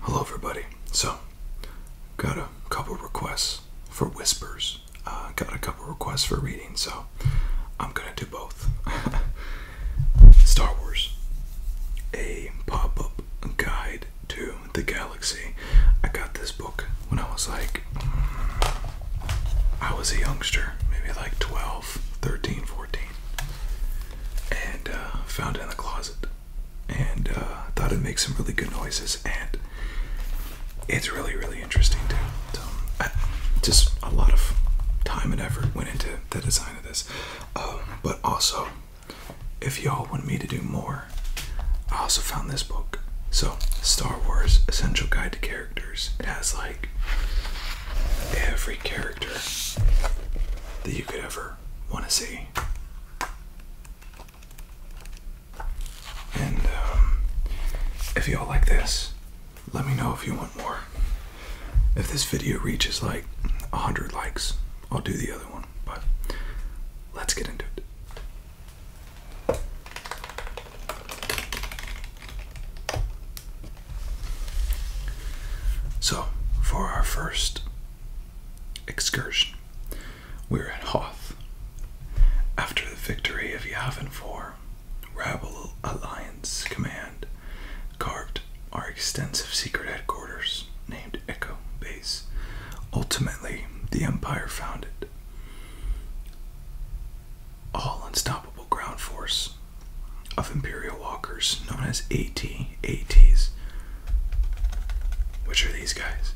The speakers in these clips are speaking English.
Hello, everybody. So, got a couple requests for whispers. Uh, got a couple requests for reading, so I'm gonna do both. Star Wars, a pop-up guide to the galaxy. I got this book when I was like, I was a youngster, maybe like 12, 13, 14, and uh, found it in the closet and uh, thought it would make some really good noises, and it's really, really interesting too. just a lot of time and effort went into the design of this, um, but also, if y'all want me to do more, I also found this book. So, Star Wars Essential Guide to Characters. It has like every character that you could ever want to see and um, if y'all like this, let me know if you want more. If this video reaches like 100 likes, I'll do the other one. But let's get into it. So, for our first Excursion. We are at Hoth. After the victory of Yavin Rebel Alliance Command carved our extensive secret headquarters named Echo Base. Ultimately, the Empire found it. All unstoppable ground force of Imperial walkers known as AT 80s, which are these guys.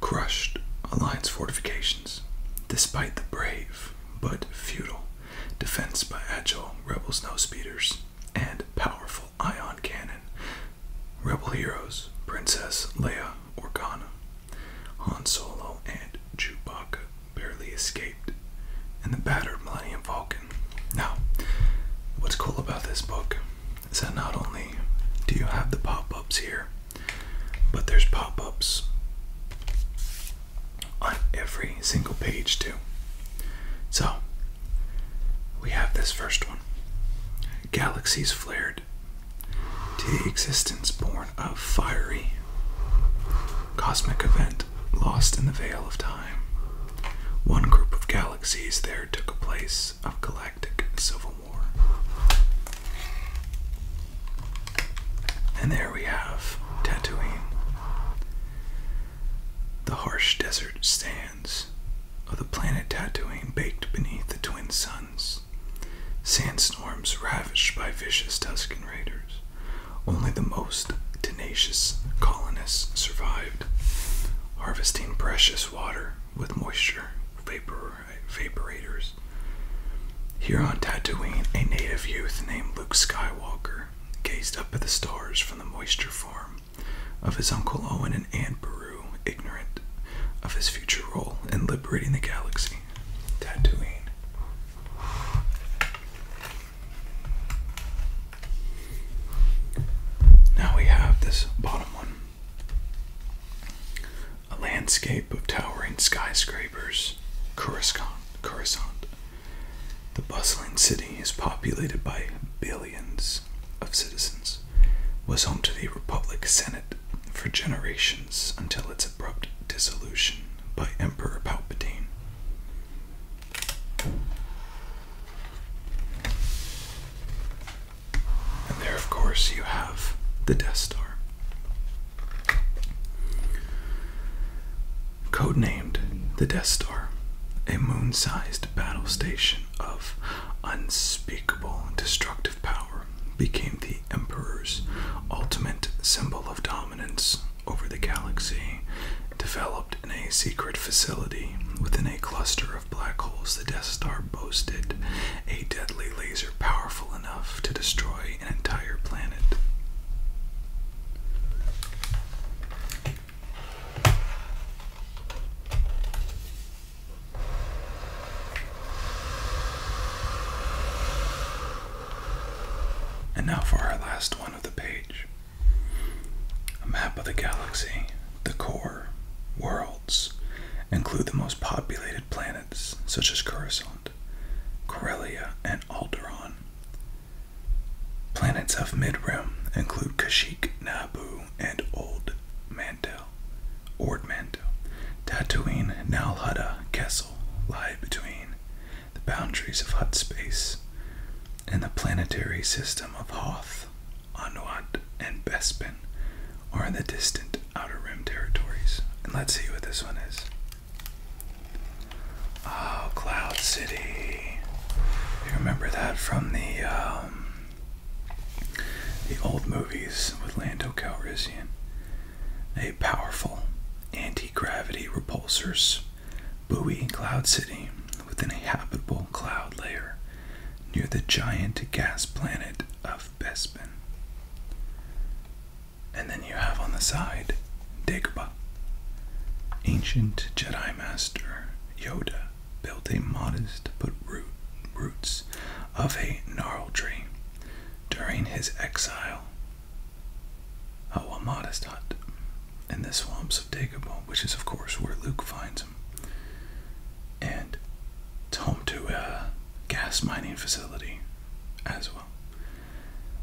Crushed Alliance fortifications, despite the brave but futile defense by agile rebel snowspeeders and powerful ion cannon, rebel heroes Princess Leia Organa, Han Solo, and Chewbacca barely escape and the battered Millennium Falcon. Now, what's cool about this book is that not only do you have the pop ups here, but there's pop ups on every single page, too. So, we have this first one Galaxies flared to the existence born of fiery cosmic event lost in the veil of time. One group of galaxies there took a place of galactic civil war. And there we have Tatooine. The harsh desert sands of the planet Tatooine baked beneath the twin suns. Sandstorms ravaged by vicious Tusken Raiders. Only the most tenacious colonists survived, harvesting precious water with moisture vaporators. Here on Tatooine, a native youth named Luke Skywalker gazed up at the stars from the moisture farm of his uncle Owen and Aunt Beru, ignorant of his future role in liberating the galaxy. Tatooine. Now we have this bottom one a landscape of towering skyscrapers, Coruscant. The bustling city is populated by billions of citizens, was home to the Republic Senate for generations until its abrupt dissolution by Emperor Palpatine. And there, of course, you have the Death Star. Codenamed the Death Star, a moon sized battle station of unspeakable destructive power, became the Emperor's ultimate symbol of dominance over the galaxy, developed in a secret facility within a cluster of black holes, the Death Star boasted a deadly laser powerful enough to destroy an entire planet. And now for our last one of the page. A map of the galaxy, the core, worlds, include the most populated planets such as Coruscant, Corellia, and Alderaan. Planets of Mid-Rim include Kashyyyk, Naboo, and Old Mandal, Ord Mantel. Tatooine, Nal Hutta, Kessel lie between the boundaries of Hut space, and the planetary system of Hoth, Anuad, and Bespin are in the distant Outer Rim territories. And let's see what this one is. Oh, Cloud City. You remember that from the um, the old movies with Lando Calrissian. A powerful anti-gravity repulsors buoy cloud city with an habitable cloud layer near the giant gas planet of Bespin. And then you have on the side Dagobah. Ancient Jedi Master Yoda built a modest but root, roots of a gnarl tree during his exile a modest hut in the swamps of Dagobah, which is, of course, where Luke finds him. And it's home to a gas mining facility as well,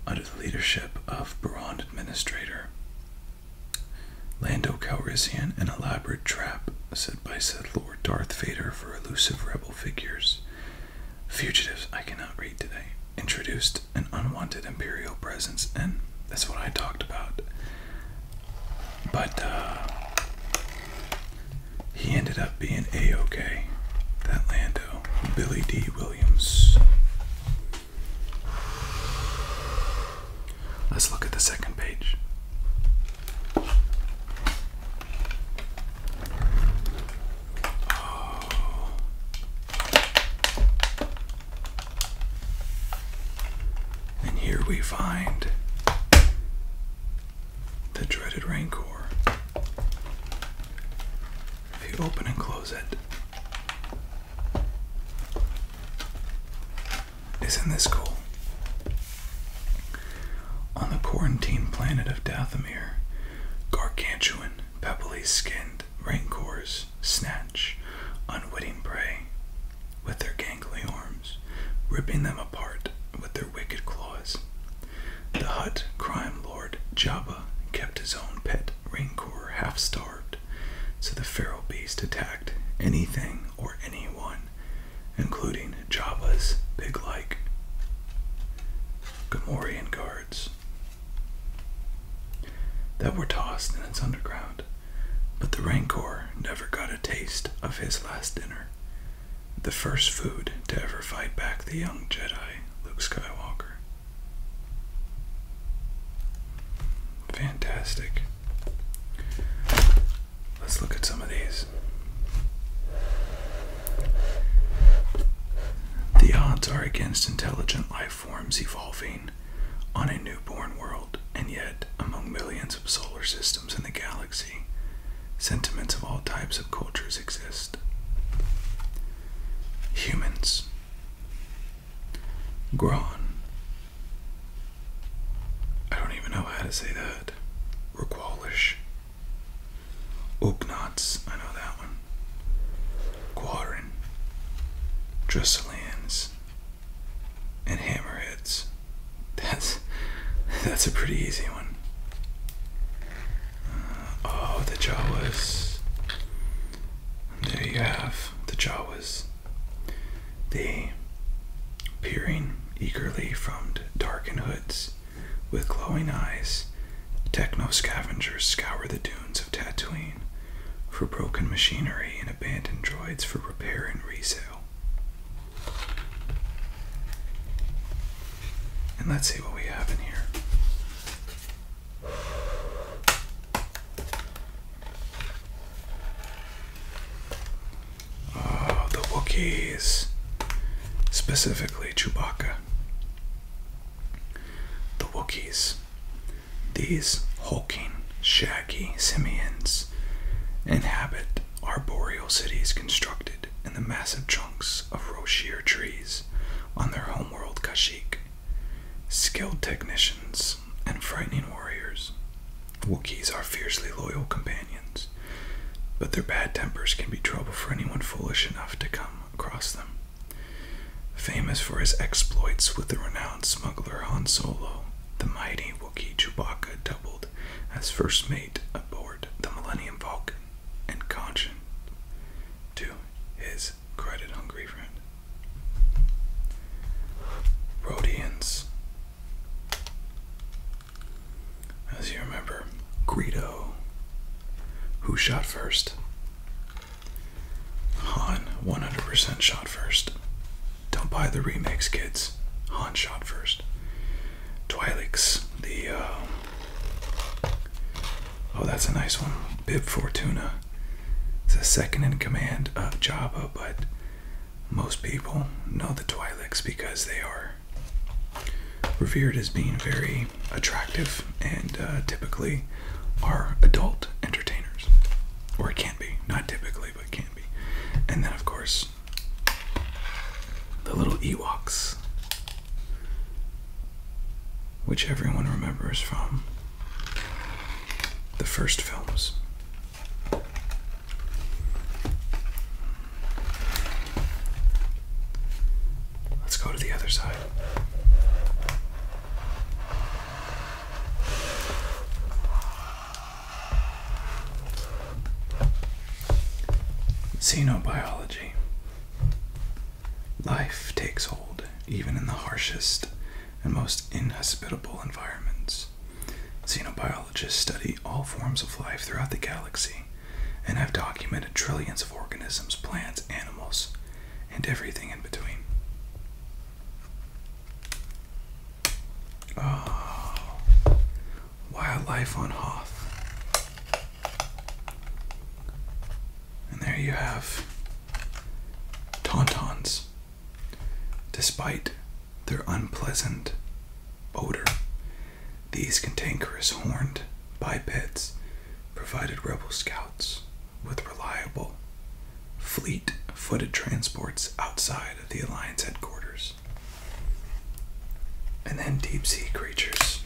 under the leadership of Baron Administrator Lando Calrissian, an elaborate trap set by Sith Lord Darth Vader for elusive rebel figures. Fugitives, I cannot read today, introduced an unwanted imperial presence, and that's what I talked about. But uh, he ended up being a okay. That Lando, Billy D. Williams. Let's look at the second page. Oh. And here we find the dreaded rancor. If you open and close it, isn't this cool? On the quarantine planet of Dathomir, gargantuan pebbly skinned rancors snatch unwitting prey with their gangly arms, ripping them apart with their wicked claws. The hut crime lord Jabba kept his own pet rancor half starved, so the feral beast attacked anything or anyone, including Jabba's pig like. Gamorrean guards that were tossed in its underground, but the rancor never got a taste of his last dinner, the first food to ever fight back the young Jedi, Luke Skywalker. Fantastic. Let's look at some of these. The odds are against intelligent life forms evolving on a newborn world, and yet, among millions of solar systems in the galaxy, sentiments of all types of cultures exist. Humans. Gron. I don't even know how to say that. Requalish. Ugnats. I know that that Drusillans, and Hammerheads. That's that's a pretty easy one. Uh, oh, the Jawas. There you have the Jawas. They, peering eagerly from darkened hoods, with glowing eyes, techno scavengers scour the dunes of Tatooine for broken machinery and abandoned droids for repair and resale. And let's see what we have in here. Oh, the Wookiees. Specifically Chewbacca. The Wookiees. These hulking, shaggy simians inhabit arboreal cities constructed in the massive trunks of Roshier trees on their homeworld Kashyyyk. Skilled technicians and frightening warriors, Wookiees are fiercely loyal companions, but their bad tempers can be trouble for anyone foolish enough to come across them. Famous for his exploits with the renowned smuggler Han Solo, the mighty Wookiee Chewbacca doubled as first mate aboard the Millennium Falcon and conscience to his credit hungry friend. Rodians. As you remember, Greedo, who shot first, Han 100% shot first. Don't buy the remakes, kids. Han shot first. Twilix, the. Uh, oh, that's a nice one. Bib Fortuna. It's a second in command of Java, but most people know the Twilix because they are revered as being very attractive and uh, typically are adult entertainers. Or it can not be. Not typically, but it can be. And then, of course, the little Ewoks, which everyone remembers from the first films. Let's go to the other side. Xenobiology. Life takes hold even in the harshest and most inhospitable environments. Xenobiologists study all forms of life throughout the galaxy and I've documented trillions of organisms, plants, animals, and everything in between. Oh, wildlife on Hoth. And there you have tauntauns. Despite their unpleasant odor, these cantankerous horned bipeds provided rebel scouts with reliable fleet footed transports outside of the Alliance headquarters. And then deep sea creatures.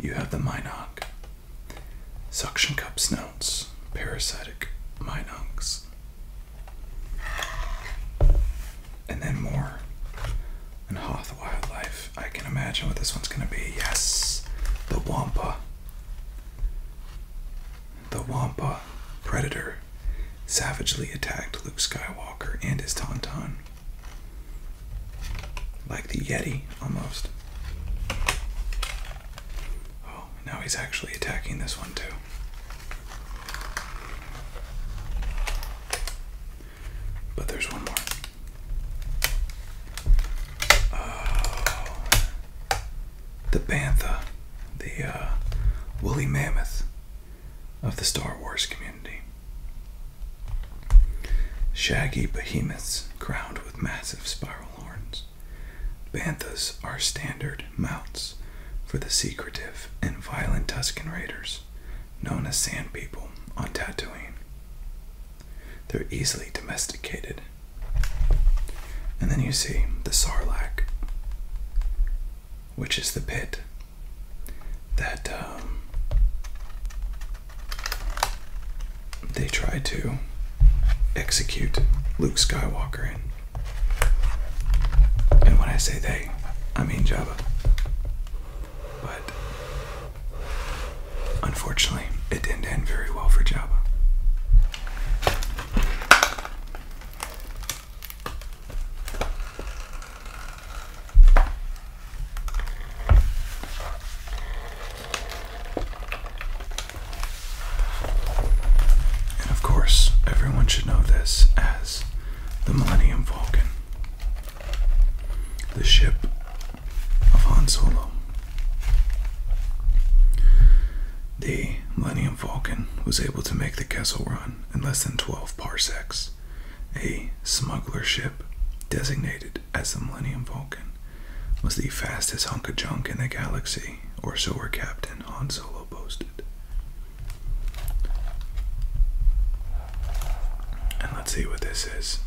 You have the Minoc, suction cup snouts, parasitic Minocs and then more. And Hoth Wildlife. I can imagine what this one's gonna be. Yes! The Wampa. The Wampa Predator savagely attacked Luke Skywalker and his Tauntaun. Like the Yeti, almost. Oh, now he's actually attacking this one too. But there's one more. Oh. the bantha, the uh, woolly mammoth of the Star Wars community. Shaggy behemoths crowned with massive spiral horns. Banthas are standard mounts for the secretive and violent Tuscan Raiders known as sand people on Tatooine. They're easily domesticated. And then you see the Sarlacc, which is the pit that um, they try to execute Luke Skywalker in. And when I say they, I mean Jabba. But unfortunately, it didn't end very well for Java. And of course, everyone should know this as the Millennium Falcon the ship of Han Solo. The Millennium Falcon was able to make the Kessel Run in less than 12 parsecs. A smuggler ship, designated as the Millennium Falcon, was the fastest hunk of junk in the galaxy, or so her captain Han Solo boasted. And let's see what this is.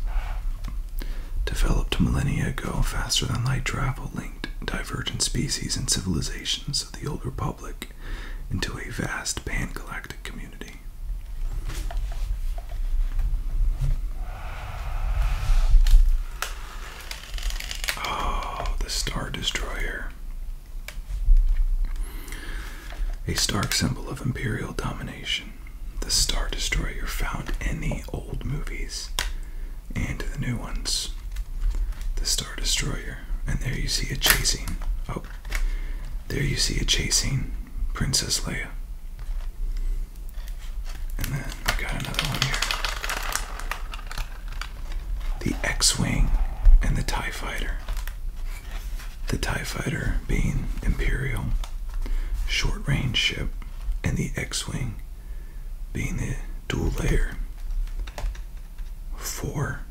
Developed millennia ago, faster than light travel linked divergent species and civilizations of the old republic into a vast pan galactic community. Oh, the Star Destroyer. A stark symbol of imperial domination, the Star Destroyer found in the old movies and the new ones. The Star Destroyer, and there you see it chasing. Oh, there you see it chasing Princess Leia. And then we got another one here. The X Wing and the TIE Fighter. The TIE fighter being Imperial, short range ship, and the X Wing being the dual layer four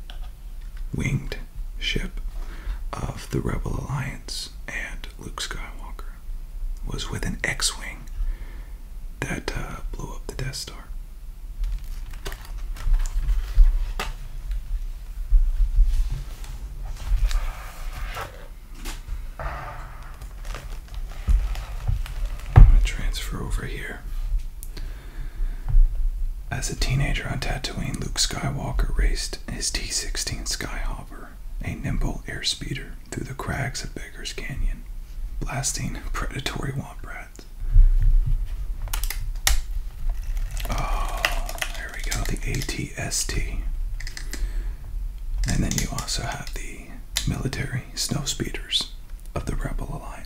winged ship of the Rebel Alliance and Luke Skywalker was with an X Wing that uh, blew up the Death Star transfer over here. As a teenager on Tatooine, Luke Skywalker raced his T 16 Skyhopper, a nimble airspeeder, through the crags of Beggar's Canyon, blasting predatory womp Oh, there we go, the ATST. And then you also have the military snow speeders of the Rebel Alliance.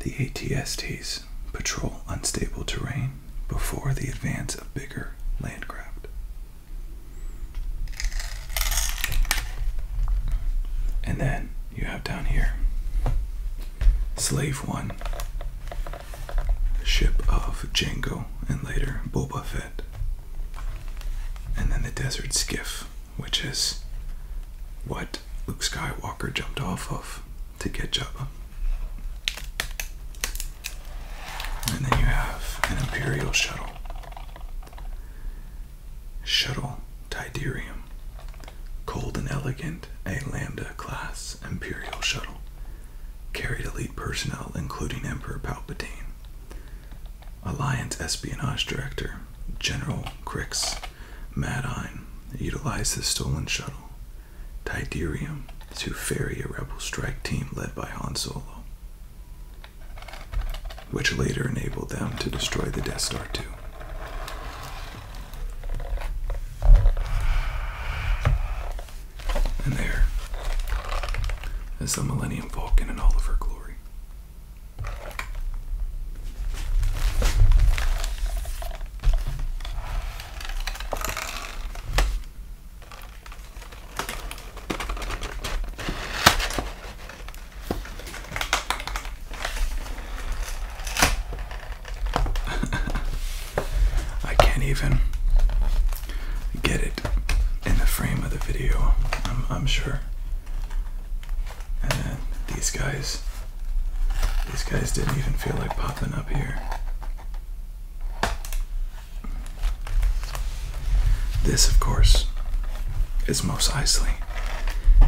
The ATSTs patrol unstable terrain before the advance of bigger landcraft. And then you have down here Slave One, Ship of Jango, and later Boba Fett. And then the Desert Skiff, which is what Luke Skywalker jumped off of to get Jabba. And then you have an Imperial shuttle. Shuttle Tiderium. Cold and elegant, a Lambda class Imperial shuttle. Carried elite personnel, including Emperor Palpatine. Alliance espionage director, General Crix Madine, utilized the stolen shuttle. Tiderium to ferry a rebel strike team led by Han Solo, which later enabled them to destroy the Death Star II. And there is the Millennium Falcon in all of her glory. I can't even get it in the frame of the video, I'm, sure. And these guys, these guys didn't even feel like popping up here. This, of course, is Mos Eisley,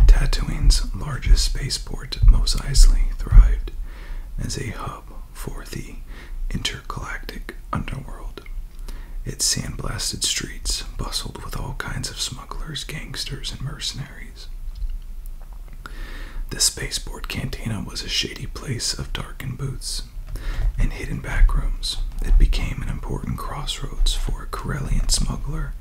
Tatooine's largest spaceport. Most Mos thrived as a hub for the intergalactic underworld. Its sandblasted streets bustled with all kinds of smugglers, gangsters, and mercenaries. The spaceport cantina was a shady place of darkened booths and hidden back rooms. It became an important crossroads for a Corellian smuggler,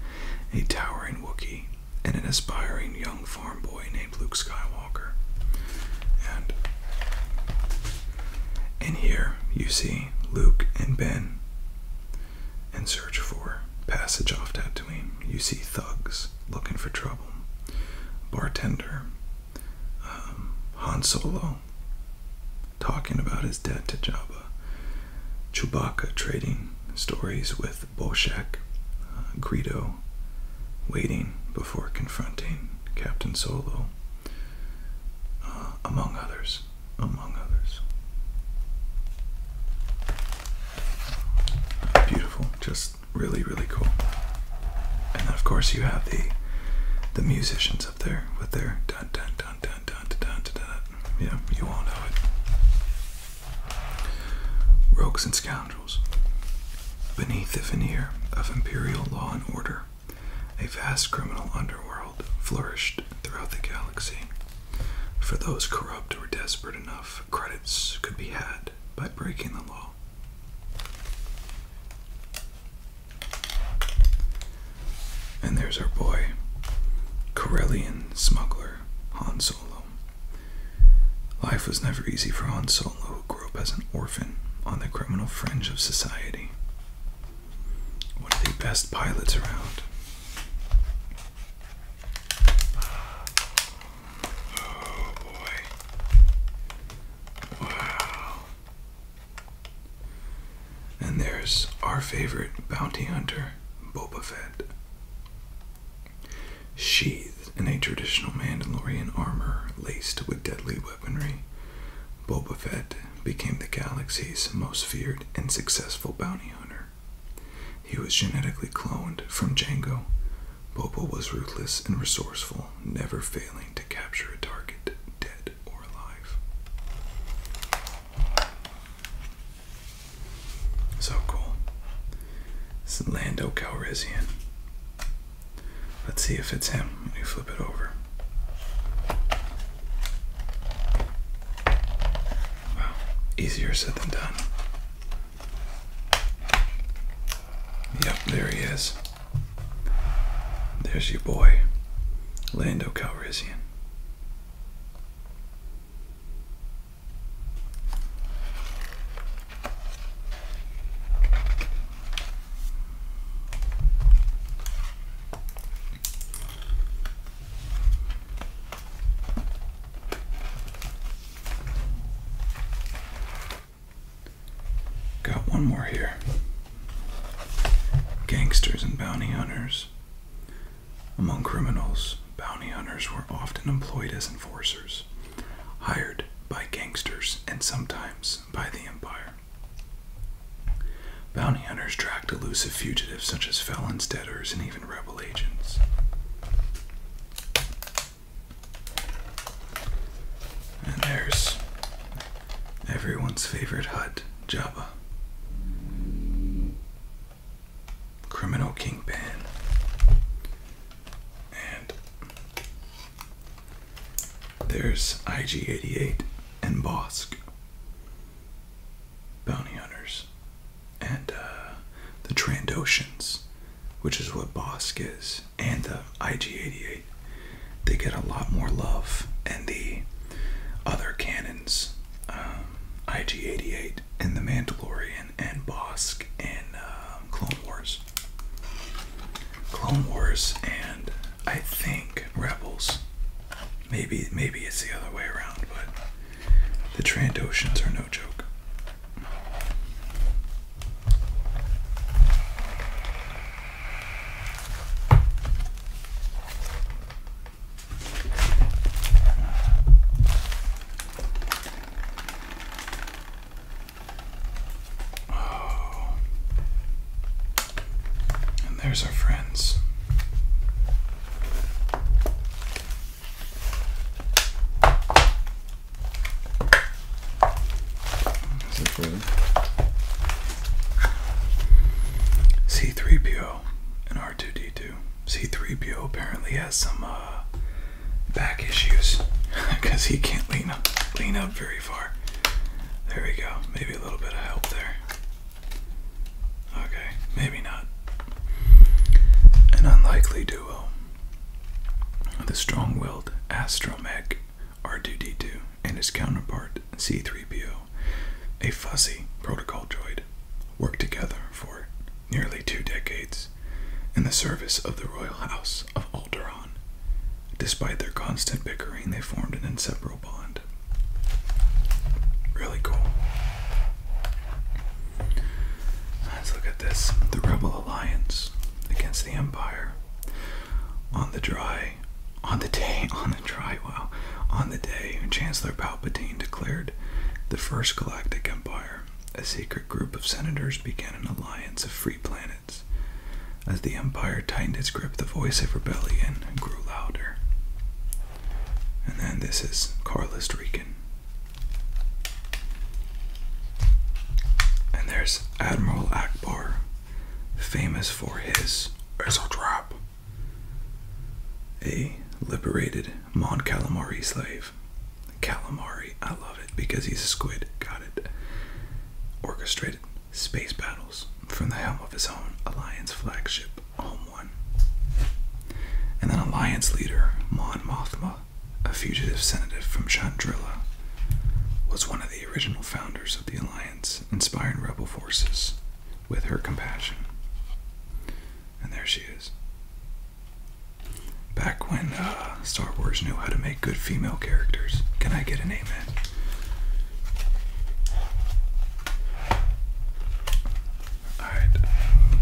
a towering Wookiee, and an aspiring young farm boy named Luke Skywalker. And in here you see Luke and Ben and search for passage off Tatooine. You see thugs looking for trouble, bartender, um, Han Solo talking about his debt to Jabba, Chewbacca trading stories with Bolshak, uh, Greedo waiting before confronting Captain Solo, uh, among others. Among others. Beautiful, just really, really cool. And then of course you have the the musicians up there with their dun dun dun dun dun dun dun dun. dun. Yeah, you all know it. Rogues and scoundrels. Beneath the veneer of imperial law and order, a vast criminal underworld flourished throughout the galaxy. For those corrupt or desperate enough, credits could be had by breaking the law. And there's our boy, Corellian smuggler Han Solo. Life was never easy for Han Solo, who grew up as an orphan on the criminal fringe of society. One of the best pilots around. Oh boy. Wow. And there's our favorite bounty hunter, Boba Fett. Sheathed in a traditional Mandalorian armor laced with deadly weaponry, Boba Fett became the galaxy's most feared and successful bounty hunter. He was genetically cloned from Django. Boba was ruthless and resourceful, never failing to capture a target, dead or alive. So cool. It's Lando Calrissian. Let's see if it's him Let me flip it over. Wow, easier said than done. Yep, there he is. There's your boy, Lando Calrissian. Got one more here. Gangsters and bounty hunters among criminals, bounty hunters were often employed as enforcers, hired by gangsters and sometimes by the empire. Bounty hunters tracked elusive fugitives such as felons, debtors, and even rebel agents. And there's everyone's favorite hut, Java criminal kingpin. And there's IG88 and Bosk, bounty hunters, and uh, the Trandoshans, which is what Bosk is, and the IG88. They get a lot more love, and the other cannons, um, IG88 Kate and The Mandalorian and Bosk and um, Clone Wars. Clone Wars and I think Rebels. Maybe maybe it's the other way around, but the Trandoshans are no joke. Oh. And there's our friends. C3PO and R2D2. C3PO apparently has some uh, back issues because he can't lean up, lean up very far. There we go. Maybe a little bit of help there. Okay, maybe not. An unlikely duo. The strong willed astromech R2D2 and his counterpart C3PO a fuzzy protocol droid, worked together for nearly two decades in the service of the royal house of Alderaan. Despite their constant bickering, they formed an inseparable bond. Really cool. Let's look at this. The Rebel Alliance against the Empire. On the day, John On the day Chancellor Palpatine declared the First Galactic Empire, a secret group of senators began an alliance of free planets. As the Empire tightened its grip, the voice of rebellion grew louder. And then this is Carlist Rikin. And there's Admiral Akbar, famous for his It's a a liberated Mon Calamari slave. Calamari, I love it because he's a squid. Got it. Orchestrated space battles from the helm of his own Alliance flagship, Home One. And then Alliance leader Mon Mothma, a fugitive senator from Chandrilla, was one of the original founders of the Alliance, inspiring rebel forces with her compassion. And there she is. Back when uh, Star Wars knew how to make good female characters. Can I get an amen? Alright. Um,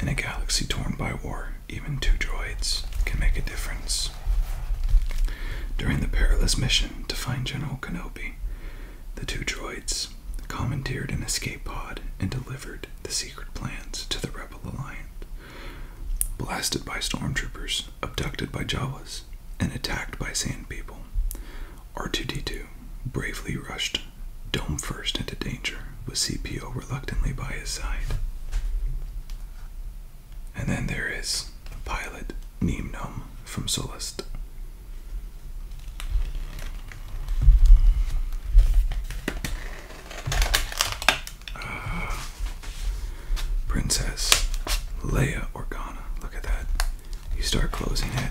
in a galaxy torn by war, even two droids can make a difference. During the perilous mission to find General Kenobi, the two droids commandeered an escape pod, and delivered the secret plans to the Rebel Alliance. Blasted by stormtroopers, abducted by Jawas, and attacked by sand people, R2D2 bravely rushed dome first into danger, with CPO reluctantly by his side. And then there is pilot Neemnum from Solist, Princess Leia Organa. Look at that. You start closing it.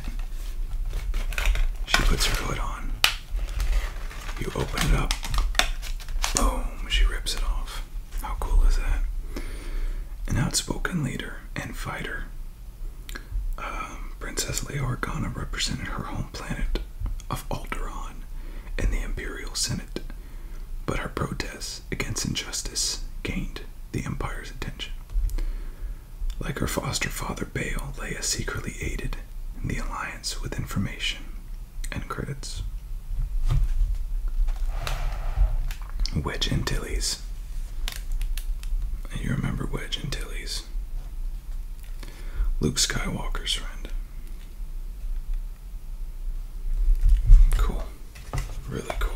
She puts her hood on. You open it up. Boom. She rips it off. How cool is that? An outspoken leader and fighter Princess um, Princess Leorgana represented her home planet of Alderaan in the Imperial Senate, but her protests against injustice gained the Empire's attention. Like her foster father Bale, Leia secretly aided the alliance with information and credits. Wedge Antilles Tilly's. You remember Wedge and Tilly's. Luke Skywalker's friend. Cool. Really cool.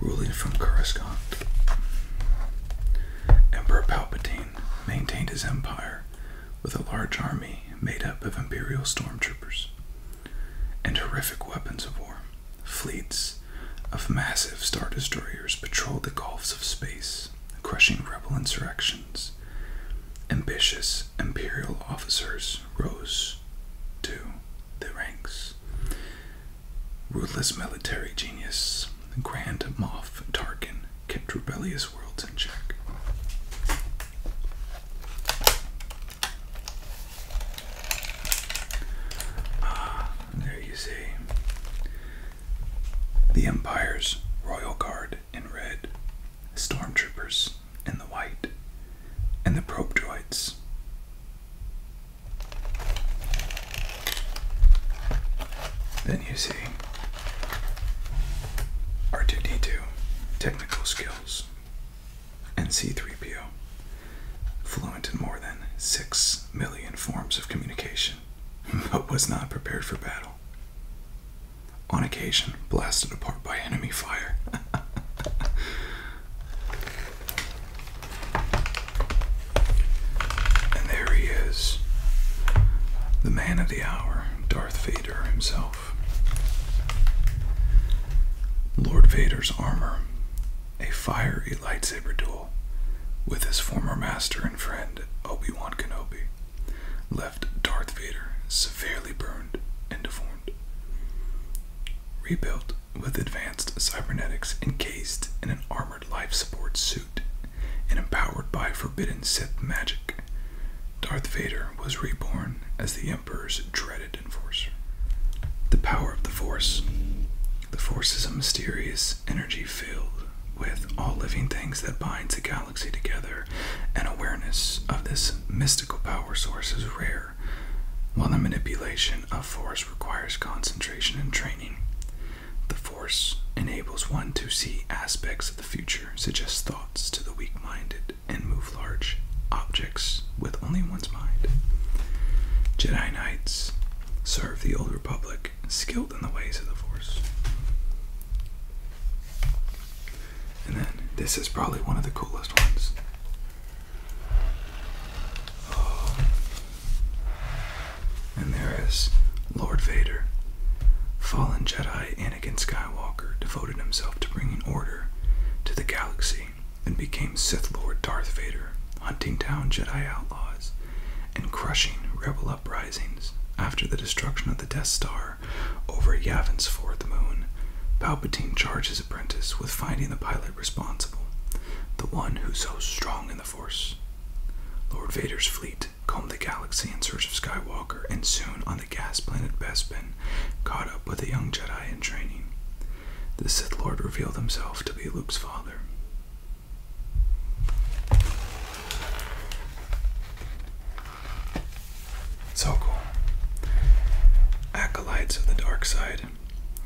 Ruling from Coruscant, Emperor Palpatine maintained his empire with a large army made up of Imperial stormtroopers and horrific weapons of war. Fleets of massive star destroyers patrolled the gulfs of space, crushing rebel insurrection. Ambitious imperial officers rose to the ranks. Ruthless military genius, Grand Moff Tarkin, kept rebellious worlds in check. Ah, there you see. The Empire's royal guard in red, stormtroopers in the white, and the probe droids. Then you see R2D2, technical skills, and C3PO, fluent in more than 6 million forms of communication, but was not prepared for battle. On occasion, blasted apart by enemy fire. and there he is, the man of the hour, Darth Vader himself. Lord Vader's armor, a fiery lightsaber duel with his former master and friend, Obi Wan Kenobi left Darth Vader severely burned and deformed. Rebuilt with advanced cybernetics encased in an armored life support suit and empowered by forbidden Sith magic, Darth Vader was reborn as the Emperor's dreaded enforcer. The power of the Force. The Force is a mysterious energy filled with all living things that binds together together, and awareness of this mystical power source is rare, while the manipulation of force requires concentration and training. The force enables one to see aspects of the future, suggest thoughts to the weak minded, and move large objects with only one's mind. Jedi Knights serve the Old Republic skilled in the ways of the Force. And then this is probably one of the coolest ones. Oh. And there is Lord Vader, fallen Jedi Anakin Skywalker, devoted himself to bringing order to the galaxy and became Sith Lord Darth Vader, hunting down Jedi outlaws and crushing rebel uprisings after the destruction of the Death Star over Yavin's fourth moon, Palpatine charged his apprentice with finding the pilot responsible, the one who's so strong in the Force. Lord Vader's fleet combed the galaxy in search of Skywalker and soon on the gas planet Bespin caught up with a young Jedi in training. The Sith Lord revealed himself to be Luke's father, so cool. Acolytes of the dark side,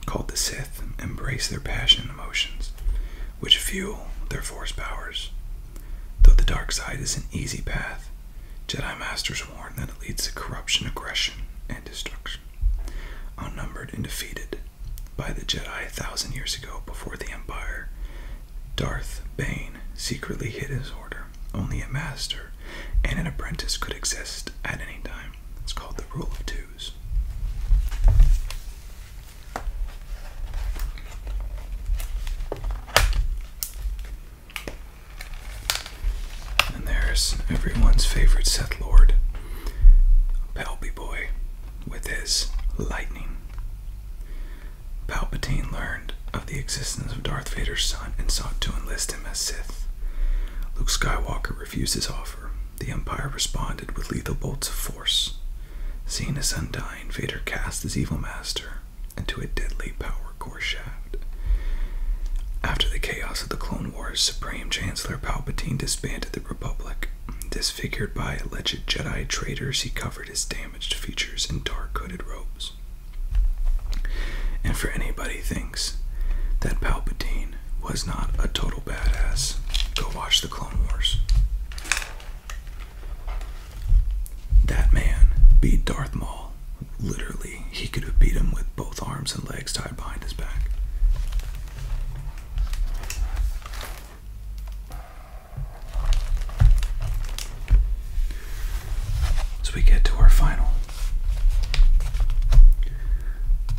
called the Sith, embrace their passion and emotions, which fuel their force powers. Though the dark side is an easy path, Jedi Masters warn that it leads to corruption, aggression, and destruction. Unnumbered and defeated by the Jedi a thousand years ago before the Empire, Darth Bane secretly hid his order. Only a master and an apprentice could exist at any time. It's called the Rule of Twos. And there's everyone's favorite Seth Lord, Pelby Boy, with his lightning. Palpatine learned of the existence of Darth Vader's son and sought to enlist him as Sith. Luke Skywalker refused his offer. The Empire responded with lethal bolts of force. Seeing his son die, Vader cast his evil master into a deadly power core shaft. After the chaos of the Clone Wars, Supreme Chancellor Palpatine disbanded the Republic. Disfigured by alleged Jedi traitors, he covered his damaged features in dark hooded robes. And for anybody thinks that Palpatine was not a total badass, go watch the Clone Wars. That man beat Darth Maul. Literally, he could have beat him with both arms and legs tied behind his back. As we get to our final.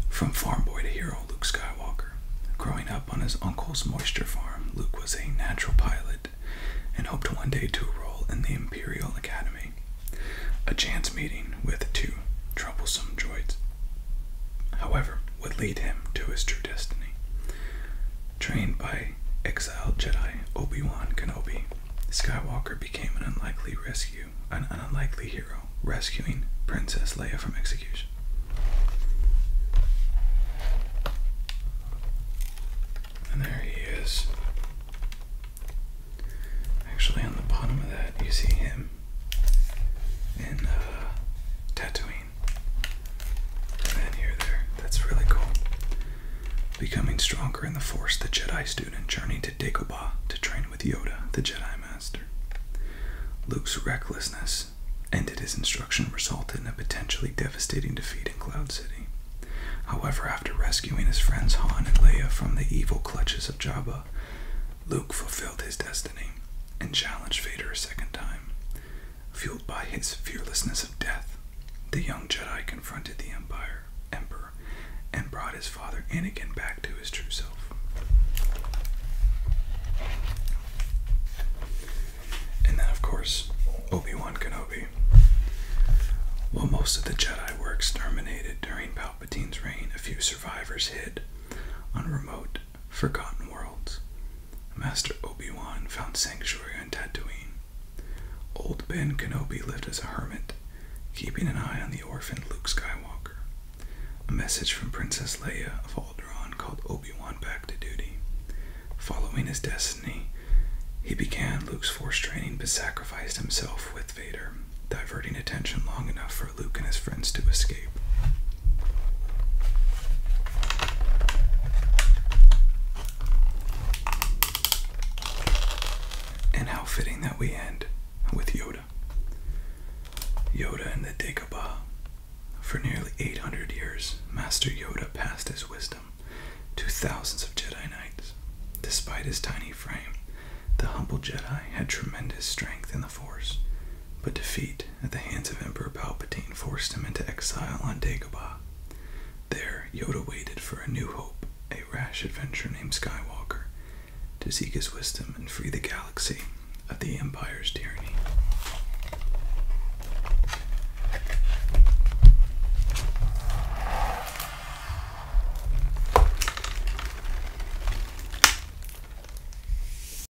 From farm boy to hero, Luke Skywalker. Growing up on his uncle's moisture farm, Luke was a natural pilot and hoped one day to enroll in the Imperial Academy. A chance meeting with two troublesome droids. However, would lead him to his true destiny. Trained by exiled Jedi Obi-Wan Kenobi, Skywalker became an unlikely rescue, an unlikely hero, rescuing Princess Leia from execution. And there he is. Actually, on the bottom of that, you see him in uh, Tatooine. And here, there. That's really cool. Becoming stronger in the Force, the Jedi student journeyed to Dagobah to train with Yoda, the Jedi Master. Luke's recklessness ended his instruction, resulted in a potentially devastating defeat in Cloud City. However, after rescuing his friends Han and Leia from the evil clutches of Jabba, Luke fulfilled his destiny and challenged Vader a second time, Fueled by his fearlessness of death, the young Jedi confronted the Empire Emperor and brought his father Anakin back to his true self. And then, of course, Obi-Wan Kenobi. While most of the Jedi were exterminated during Palpatine's reign, a few survivors hid on remote Forgotten Worlds. Master Obi-Wan found sanctuary on Tatooine. Old Ben Kenobi lived as a hermit, keeping an eye on the orphan Luke Skywalker. A message from Princess Leia of Alderaan called Obi-Wan back to duty. Following his destiny, he began Luke's force training but sacrificed himself with Vader, diverting attention long enough for Luke and his friends to escape. And how fitting that we end with Yoda. Yoda and the Dagobah. For nearly 800 years, Master Yoda passed his wisdom to thousands of Jedi Knights. Despite his tiny frame, the humble Jedi had tremendous strength in the Force, but defeat at the hands of Emperor Palpatine forced him into exile on Dagobah. There, Yoda waited for a new hope, a rash adventurer named Skywalker, to seek his wisdom and free the galaxy of the Empire's tyranny.